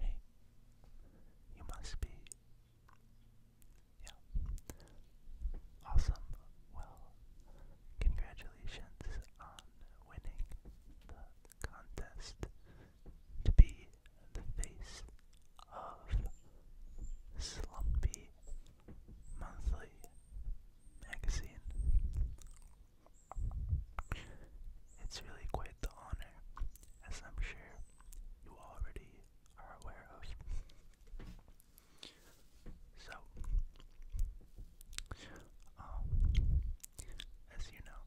Hey, you must be. Awesome. Well, congratulations on winning the contest to be the face of Slumpy Monthly Magazine. It's really quite the honor, as I'm sure you already are aware of. So, um, as you know,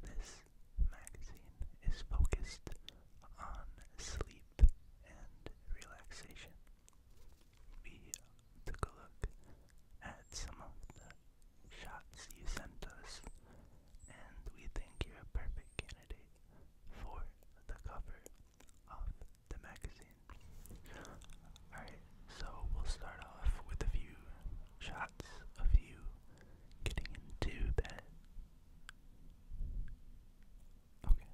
this magazine is focused on sleep and relaxation took a look at some of the shots you sent us, and we think you're a perfect candidate for the cover of the magazine. Alright, so we'll start off with a few shots of you getting into bed. Okay.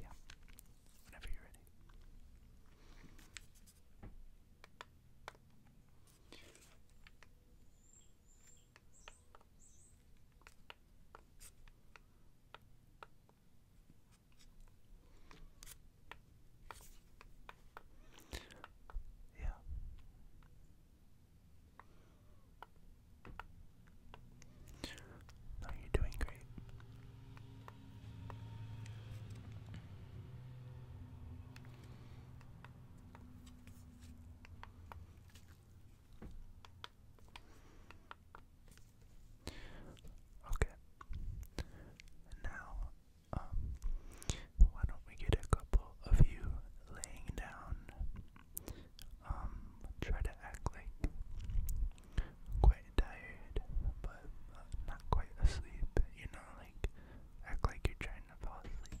Yeah. Whenever you're ready. Yeah you're doing great. Okay. Now, um, why don't we get a couple of you laying down um, try to act like I'm quite tired, but not quite asleep. You know, like act like you're trying to fall asleep.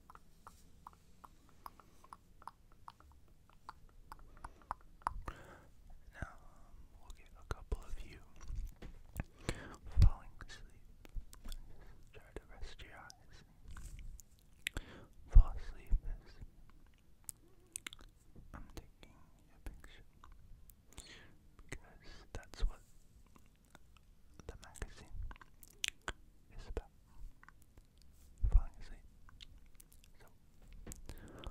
Now, um, we'll get a couple of you falling asleep. Just try to rest your eyes. Fall asleep as I'm taking a picture because that's what the magazine is about falling asleep. So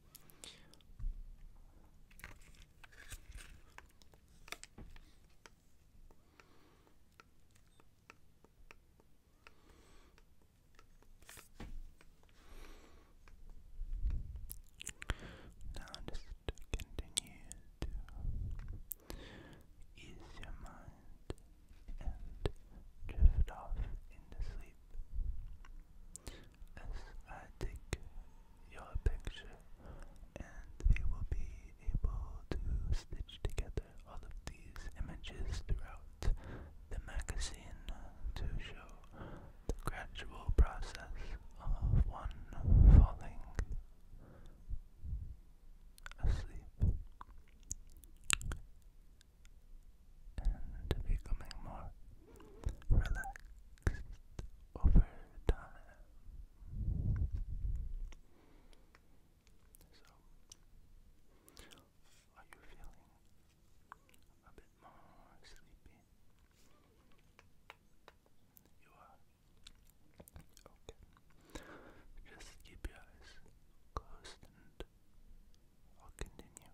Now just continue to ease your mind and drift off into sleep as I take your picture, and we will be able to stitch together all of these images throughout the magazine to show the gradual process of one falling asleep and becoming more relaxed over time. So, are you feeling a bit more sleepy? You are? Okay. Just keep your eyes closed and I'll continue.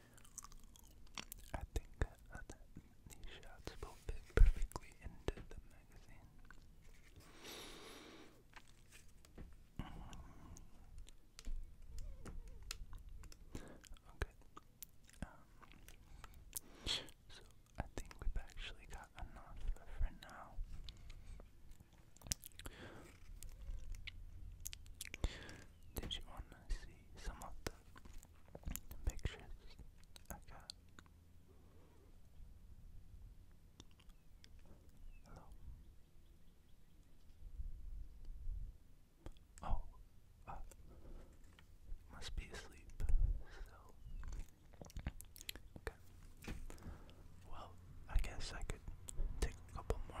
I think that these shots will fit perfectly into the magazine. Okay. Um, so I think we've actually got enough for now. Did you want to see some of the pictures oh, I got. Hello. Oh, uh, must be asleep. So, Well, I guess I could take a couple more.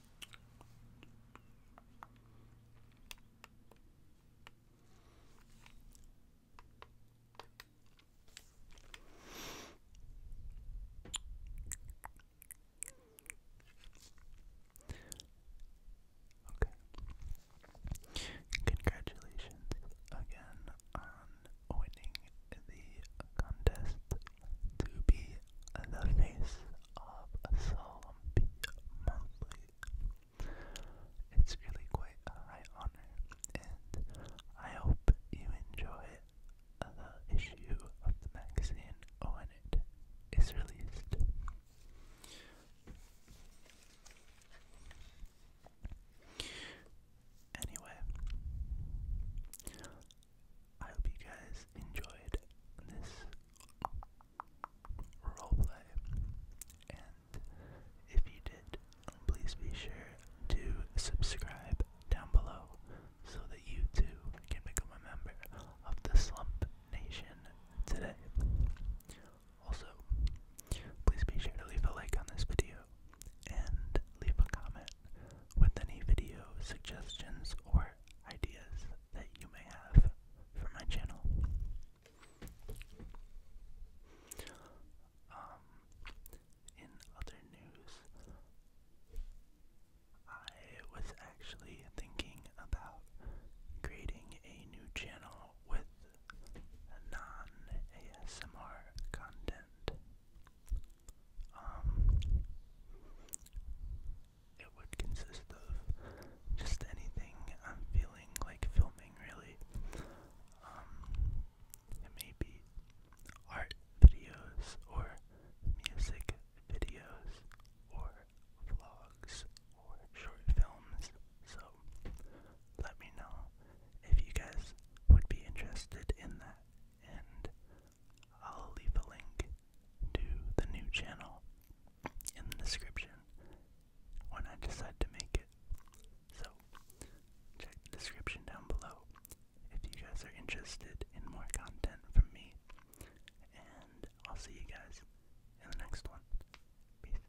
Okay. Congratulations again on winning the contest to be the face of Solemn Monthly. It's really quite a high honor, and I hope you enjoy the issue of the magazine when it is released. Anyway, I hope you guys enjoyed this roleplay. And if you did, please be sure to subscribe down below so that you too can become a member of the Slump Nation today. Also, please be sure to leave a like on this video and leave a comment with any video suggestions or ideas that you may have for my channel. Um, in other news, I was actually thinking about creating a new channel with non ASMR content. Um, it would consist of just anything I'm feeling like filming, really. Um, it may be art videos or music videos or vlogs or short films. So let me know if you guys would be interested in that, and I'll leave a link to the new channel in the description when I decide to make it. So, check the description down below if you guys are interested in more content from me, and I'll see you guys in the next one. Peace.